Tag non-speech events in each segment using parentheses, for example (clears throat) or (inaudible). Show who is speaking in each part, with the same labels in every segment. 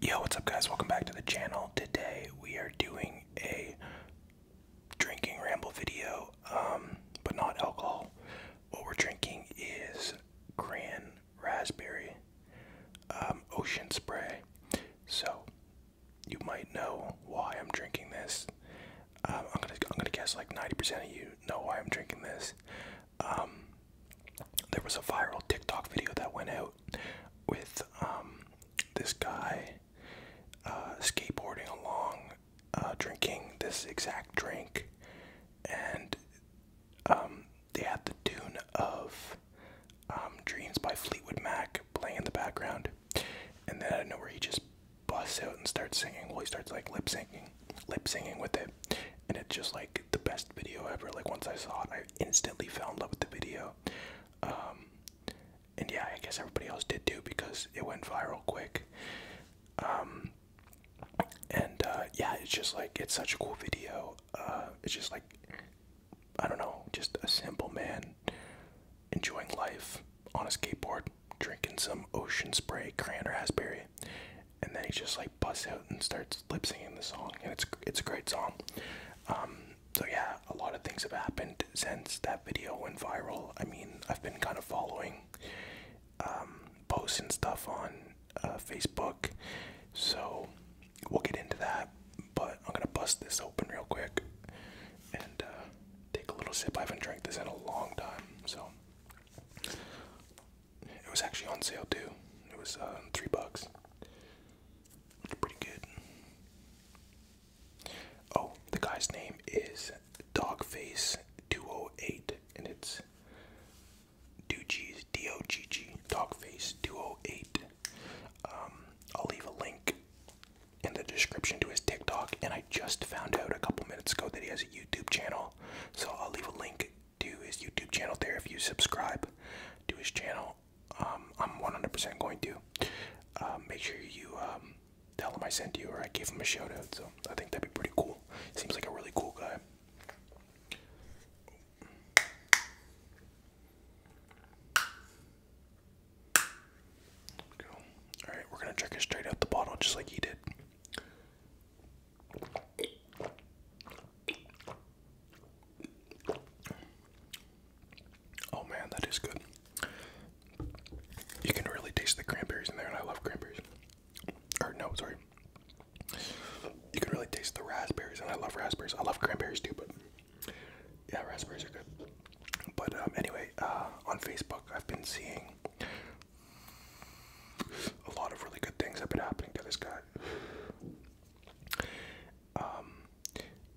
Speaker 1: Yo, what's up, guys? Welcome back to the channel. Today we are doing a drinking ramble video, um, but not alcohol. What we're drinking is Gran Raspberry um, Ocean Spray. So you might know why I'm drinking this. Um, I'm gonna I'm gonna guess like 90% of you know why I'm drinking this there was a viral TikTok video that went out with um, this guy uh, skateboarding along, uh, drinking this exact drink, and um, they had the tune of um, Dreams by Fleetwood Mac playing in the background. And then I don't know where he just busts out and starts singing. Well, he starts like lip syncing, lip singing with it, and it's just like the best video ever. Like once I saw it, I instantly fell in love with the video. Um, and yeah, I guess everybody else did too because it went viral quick. Um, and uh, yeah, it's just like it's such a cool video. Uh, it's just like I don't know, just a simple man enjoying life on a skateboard, drinking some ocean spray, cranberry, and then he just like busts out and starts lip singing the song, and it's it's a great song. Um, so yeah, a lot of things have happened since that video went viral. I mean, I've been kind of following um, posts and stuff on uh, Facebook, so we'll get into that. But I'm gonna bust this open real quick and uh, take a little sip. I haven't drank this in a long time, so it was actually on sale too. It was uh, three bucks pretty good. Oh, the guy's name is Dogface 208 and it's Doogies D O G G Dogface 208. Um, I'll leave a link in the description to his TikTok and I just found out a couple minutes ago that he has a YouTube channel. So I'll leave a link to his YouTube channel there if you subscribe to his channel um, I'm 100% going to. Um, make sure you um, tell him I sent you or I gave him a shout out. So I think that'd be pretty cool. Seems like a really cool guy. All right, we're gonna drink it straight out the bottle, just like he did. Oh man, that is good. You can really taste the cranberries in there, and I love cranberries. Or no, sorry. You can really taste the raspberries, and I love raspberries. I love cranberries too, but yeah, raspberries are good. But um, anyway, uh, on Facebook, I've been seeing a lot of really good things have been happening to this guy. Um,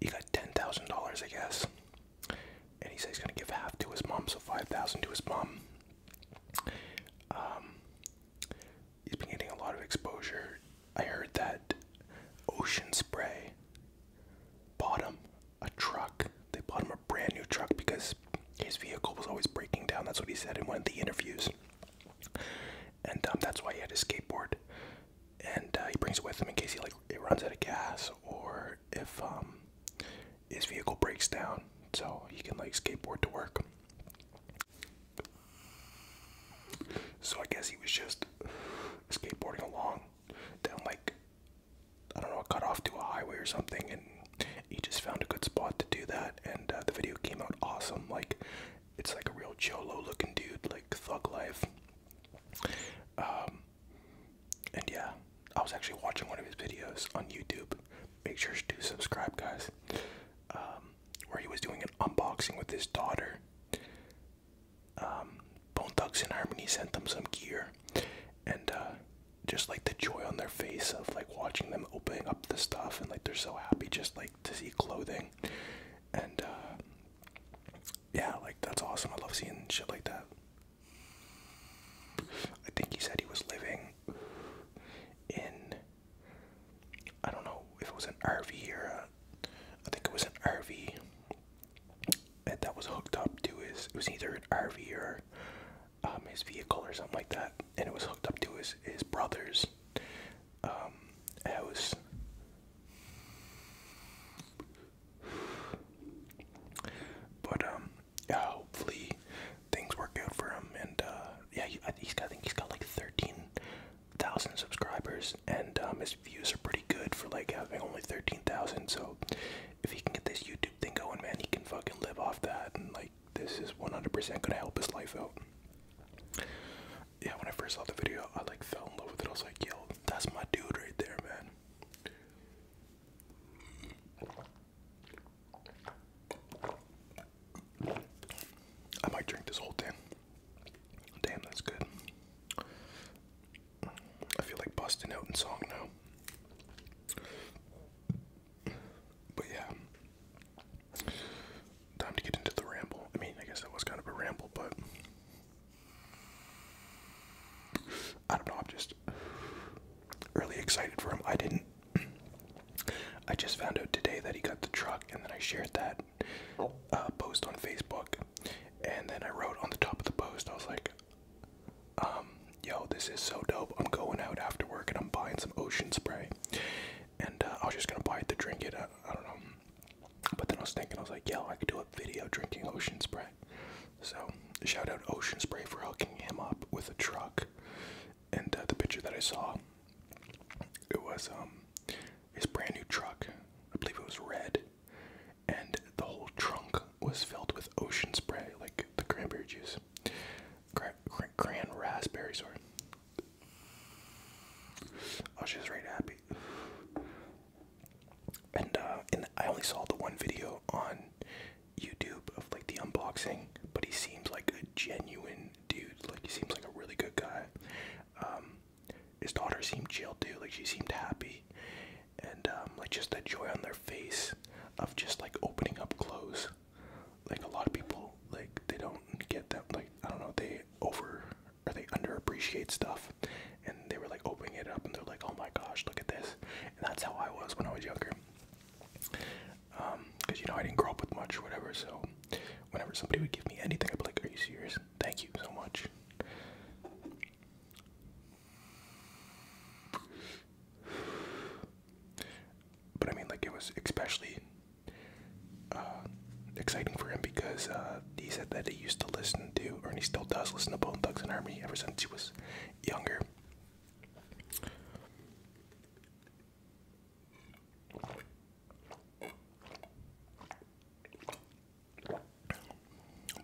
Speaker 1: he got ten thousand dollars, I guess, and he says he's gonna give half to his mom, so five thousand to his mom. Um, he's been getting a lot of exposure. I heard that Ocean Spray bought him a truck. They bought him a brand new truck because his vehicle was always breaking down. That's what he said in one of the interviews and um, that's why he had his skateboard. And uh, he brings it with him in case he like it runs out of gas or if um, his vehicle breaks down, so he can like skateboard to work. So I guess he was just skateboarding along down like I don't know, cut off to a highway or something, and he just found a good spot to do that. And uh, the video came out awesome. Like it's like a real cholo looking dude, like thug life. Um, and yeah, I was actually watching one of his videos on YouTube. Make sure to subscribe, guys. Um, where he was doing an unboxing with his daughter. Um, Bone Thugs and Harmony sent them some gear, and uh, just like the joy on their face of like watching them opening up the stuff, and like they're so happy just like to see clothing, and uh, yeah, like that's awesome. I love seeing shit like that. I think he said he was living in I don't know if it was an RV or I think it was an RV And that was hooked up to his. It was either an RV or um, his vehicle or something like that, and it was hooked up to his his brother's um, was. But um, yeah, hopefully things work out for him. And uh, yeah, he, he's got, I think he's got like thirteen thousand subscribers, and um, his views are pretty good for like having only thirteen thousand. So if he can get this YouTube thing going, man, he can fucking live off that, and like this is one hundred percent gonna help his life out yeah, when I first saw the video, I like fell in love with it. I was like, yo, that's my dude right there, man. I might drink this whole thing. Damn, that's good. I feel like busting out in song now. But yeah time to get into the ramble. I mean, I guess that was kind of a ramble, but I don't know. I'm just really excited for him. I didn't. (clears throat) I just found out today that he got the truck, and then I shared that uh, post on Facebook, and then I wrote on the top of the post, I was like, um, "Yo, this is so dope! I'm going out after work, and I'm buying some ocean spray, and uh, I was just gonna buy it to drink it. Uh, I don't know." But then I was thinking, I was like, "Yo, I could do a video drinking Ocean Spray. So shout out Ocean Spray for hooking him up with a truck. And uh, the picture that I saw, it was um his brand new truck. I believe it was red, and the whole trunk was filled with Ocean Spray, like the cranberry juice, Gra gran raspberry, sorry. Oh, she's right happy. And uh, and I only saw the one video on YouTube of like the unboxing, but he seems like a genuine dude. Like he seems like a really good guy. Um, his daughter seemed chill too. Like she seemed happy, and um, like just the joy on their face of just like opening up clothes. Like a lot of people, like they don't get that. Like I don't know, they over are they underappreciate stuff and they were like opening it up and they're like oh my gosh look at this and that's how i was when i was younger because um, you know i didn't grow up with much or whatever so whenever somebody would give me anything i'd be like are you serious thank you so much but i mean like it was especially uh, exciting for him because uh, he said that he used to listen to, Ernie still does listen to Bone Thugs and Harmony ever since he was younger.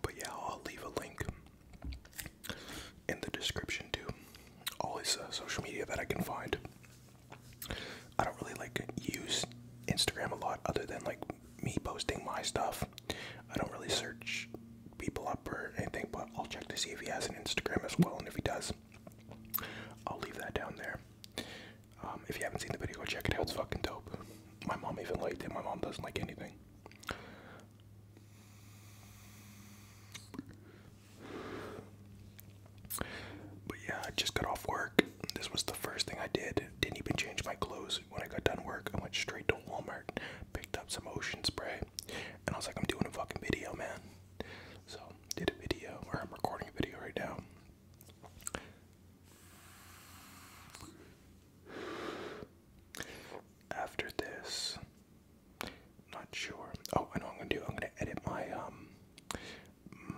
Speaker 1: But yeah, I'll leave a link in the description to all his uh, social media that I can find. I don't really like use Instagram a lot other than like me posting my stuff. I don't really search people up or anything, but I'll check to see if he has an Instagram as well. And if he does, I'll leave that down there. Um, if you haven't seen the video, check it out. It's fucking dope. My mom even liked it. My mom doesn't like anything. But yeah, just got off work. This was the first thing I did. Didn't even change my clothes. When I got done work, I went straight to Walmart, picked up some ocean spray, and I was like, I'm doing a fucking video, man. So, did a video, or I'm recording a video right now. After this, not sure. Oh, I know what I'm gonna do. I'm gonna edit my um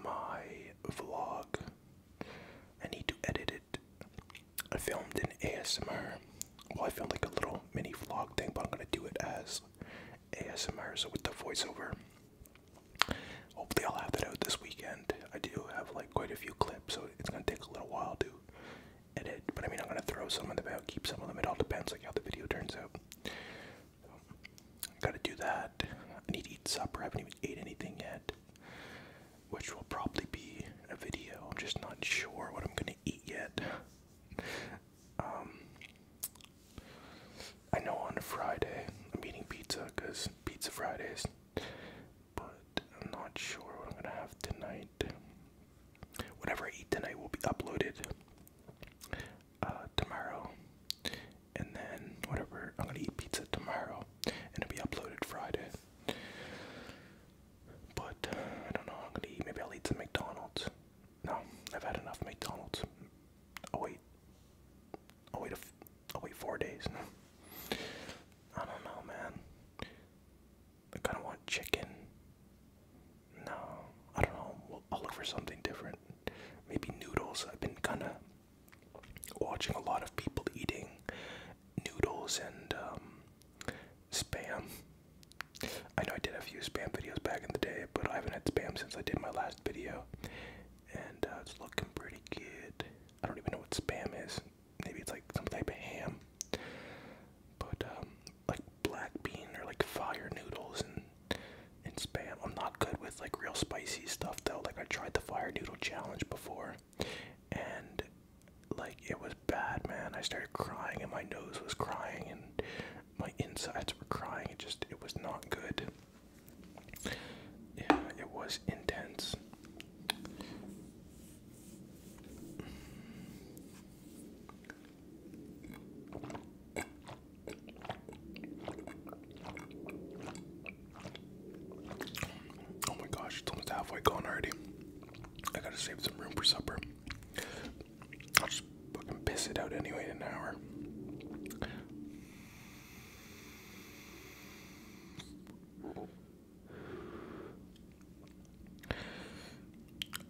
Speaker 1: my vlog. I need to edit it. I filmed an ASMR. Oh, I filmed like a little mini vlog thing, but I'm gonna do it as ASMR, so with the voiceover. Hopefully, I'll have that out this weekend. I do have like quite a few clips, so it's gonna take a little while to edit. But I mean, I'm gonna throw some of them out, keep some of them. It all depends like how the video turns out. So, I gotta do that. I need to eat supper. I haven't even ate anything yet, which will probably be a video. I'm just not sure what I'm gonna eat yet. Um, I know on a Friday I'm eating pizza because Pizza Fridays, but I'm not sure what I'm gonna have tonight. Whatever I eat tonight will be uploaded uh, tomorrow and then whatever. I'm gonna eat pizza tomorrow, and it'll be uploaded Friday. But I don't know. I'm gonna eat. Maybe I'll eat some McDonald's. No, I've had enough McDonald's. I'll wait. I'll wait. A f I'll wait four days. (laughs) I don't know, man. I kind of want chicken. No, I don't know. I'll look for something different. Maybe noodles. I've been kind of watching a lot of people eating noodles and um, spam. I know I did a few spam videos back in the day, but I haven't had spam since I did my last video. And uh, it's looking pretty good. I don't even know what spam is. Maybe it's like some type of ham. But um, like black bean or like fire noodles and and spam. I'm not good with like real spicy stuff though. Like I tried the fire noodle challenge before and like it was bad man i started crying and my nose was crying and my insides were crying it just it was not good yeah it was intense Oh my gosh, it's almost halfway gone already. I gotta save some room for supper. I'll just fucking piss it out anyway in an hour.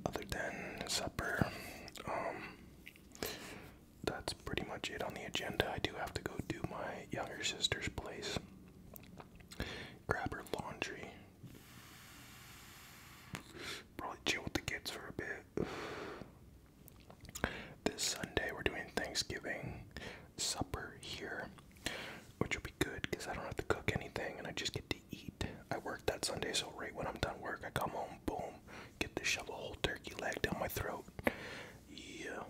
Speaker 1: Other than supper, um, that's pretty much it on the agenda. I do have to go do my younger sister's place, grab her laundry, probably chill with the kids for a bit. This Sunday, we're doing Thanksgiving supper here, which will be good because I don't have to cook anything and I just get to eat. I work that Sunday, so right when I'm done work, I come home, boom, get to shove a whole turkey leg down my throat. Yeah,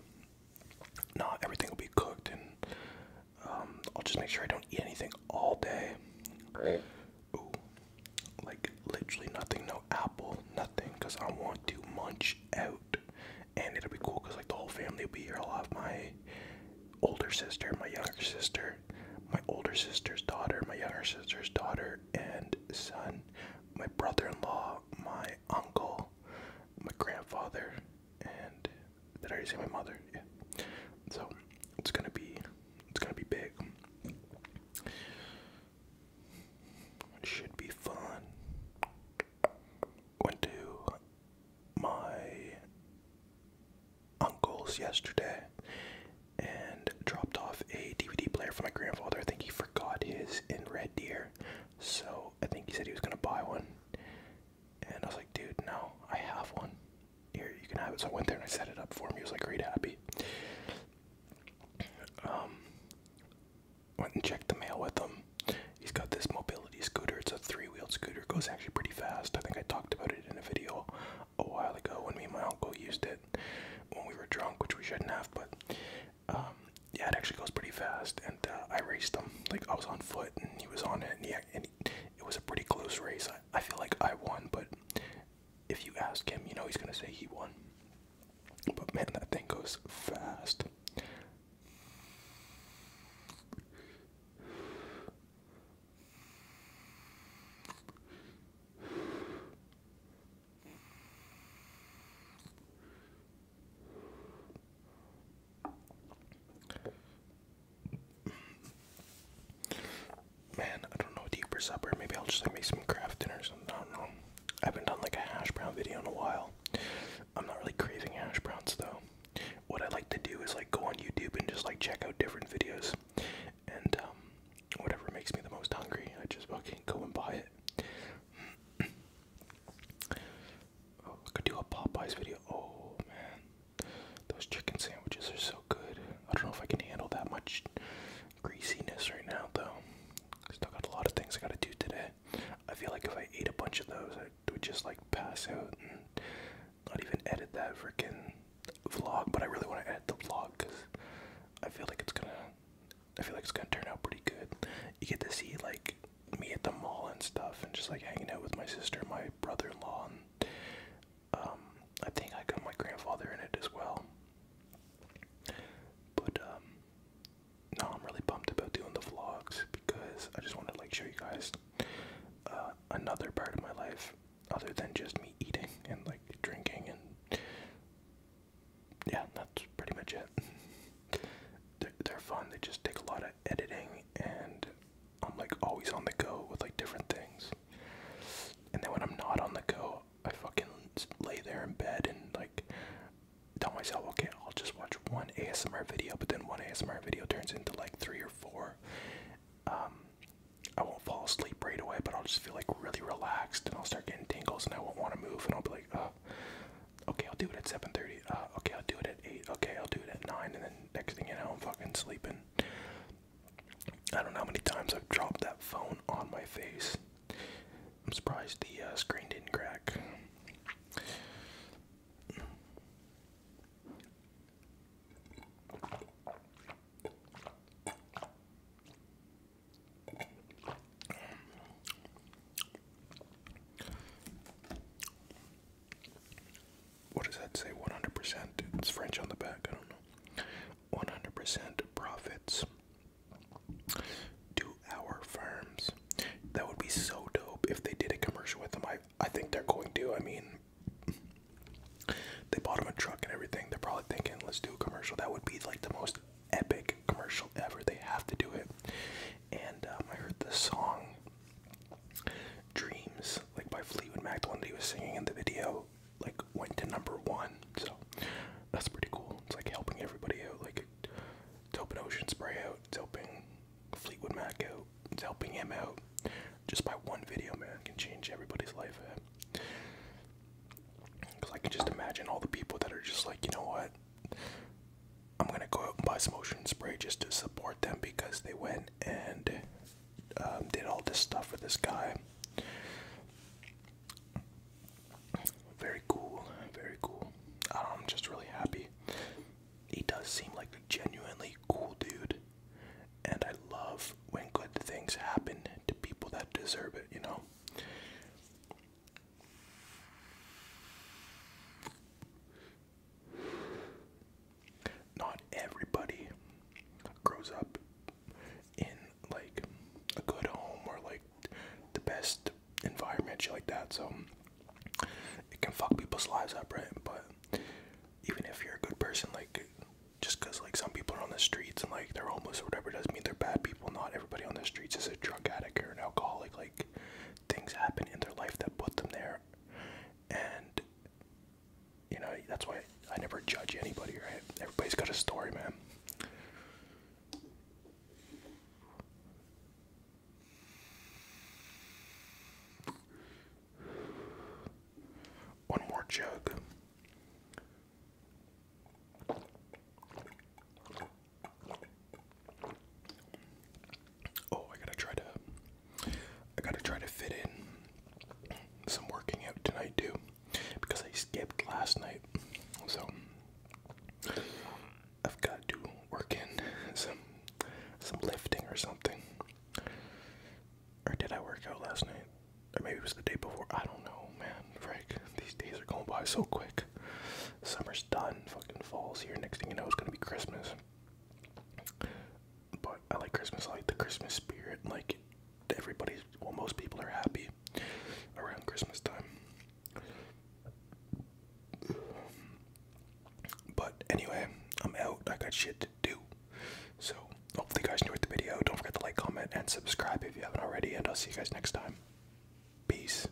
Speaker 1: no, everything will be cooked, and um, I'll just make sure I don't eat anything all day. like literally nothing, no apple, nothing, because I want to munch out, and it'll be cool because like the whole family will be here. I'll have my older sister, my younger sister, my older sister's daughter, my younger sister's daughter and son, my brother-in-law, my uncle, my grandfather, and did I already say my mother? Yeah. So it's gonna be it's gonna be big. should be fun. Went to my uncle's yesterday and dropped off a DVD player for my grandfather. I think he forgot his in Red Deer. So I think he said he was gonna buy one, and I was like, dude, no, I have one. Here, you can have it. So I went there and I set it up for him. He was like, great, happy. Um, went and checked the mail with him. He's got this mobility scooter. It's a three-wheeled scooter. goes actually pretty fast. I think I talked about it in a video a while ago when me and my uncle used it when we were drunk, which we shouldn't have. But um, yeah, it actually goes pretty fast, and uh, I raced him. Like I was on foot, and he was on it, and, he, and it was a pretty close race. I feel like I won, but if you ask him, you know he's gonna say he won. But man, that thing goes fast. Man, I don't know what to eat for supper. Maybe I'll just make some craft dinner I don't know. I haven't done like a hash brown video in a while. I'm not really craving hash browns though. What I like to do is like go on YouTube and just like check out different videos and um, whatever makes me the most hungry, I just fucking go and buy it. Oh, I could do a Popeyes video. Oh man, those chicken sandwiches are so good. I don't know if I can handle that much greasiness right now, though. Still got a lot of things I gotta do today. I feel like if I ate a bunch of those, I would just like pass out and not even edit that freaking vlog. But I really want to edit the vlog because I feel like it's gonna. I feel like it's gonna turn out pretty good. You get to see like me at the mall and stuff, and just like hanging out with my sister, my brother-in-law, and um, I think I got my grandfather in it as well. But um, I'm really pumped about doing the vlogs because I just want to like show you guys uh, another part of my life, other than just me eating and like drinking and yeah, that's pretty much it. (laughs) they're, they're fun. They just take a lot of editing, and I'm like always on the go with like different things. And then when I'm not on the go, I fucking lay there in bed and like tell myself, okay, I'll just watch one ASMR video, but then one ASMR video turns into like three or four. Um, I won't fall asleep right away, but I'll just feel like really relaxed and I'll start getting tingles and I won't want to move and I'll be like, uh, okay, I'll do it at 7:30. Uh, okay, I'll do it at 8. Okay, I'll do it at 9. And then next thing you know, I'm fucking sleeping. I don't know how many times I've dropped that phone on my face. I'm surprised the uh, screen didn't crack. What does that say? 100%? It's French on the back, I don't know. 100% profits to our firms. That would be so dope if they did a commercial with them. I, I think they're going to. I mean, they bought him a truck and everything. They're probably thinking, let's do a commercial. That would be like the most epic commercial ever. They have to do it and um, I heard this song Dreams, like by Fleetwood Mac, the one that he was singing in the video, like went to number one. So that's pretty cool. It's like helping everybody out, like it's helping Ocean Spray out, it's helping Fleetwood Mac out, it's helping him out. Just by one video, man, can change everybody's life. Because I can just imagine all the people that are just like, you know what, I'm gonna go out and buy some ocean spray just to support them because they went and um, did all this stuff for this guy. Very cool, very cool. I'm just really happy. He does seem like a genuinely cool dude, and I love when good things happen to people that deserve it, you know? Not everybody grows up in like a good home or like the best environment, shit like that. So it can fuck people's lives up, right? But even if you're a good person, like just because like some people are on the streets and like they're homeless or whatever doesn't mean they're bad people. Not everybody on the streets is a drug addict or an alcoholic. Like things happen in their life that put them there and you know that's why I never judge anybody right everybody's got a story man one more jug Oh, I gotta try to. I gotta try to fit in some working out tonight too, because I skipped last night. So I've got to work in some some lifting or something. Or did I work out last night? Or maybe it was the day before. I don't know, man. Frank, these days are going by so quick. Summer's done. Fucking fall's here. Next thing you know, it's gonna be Christmas. But I like Christmas. I like the Christmas spirit. Like everybody's, well, most people are happy around Christmas time. But anyway, I'm out. I got shit to do. So hopefully you guys enjoyed the video. Don't forget to like, comment, and subscribe if you haven't already. And I'll see you guys next time. Peace.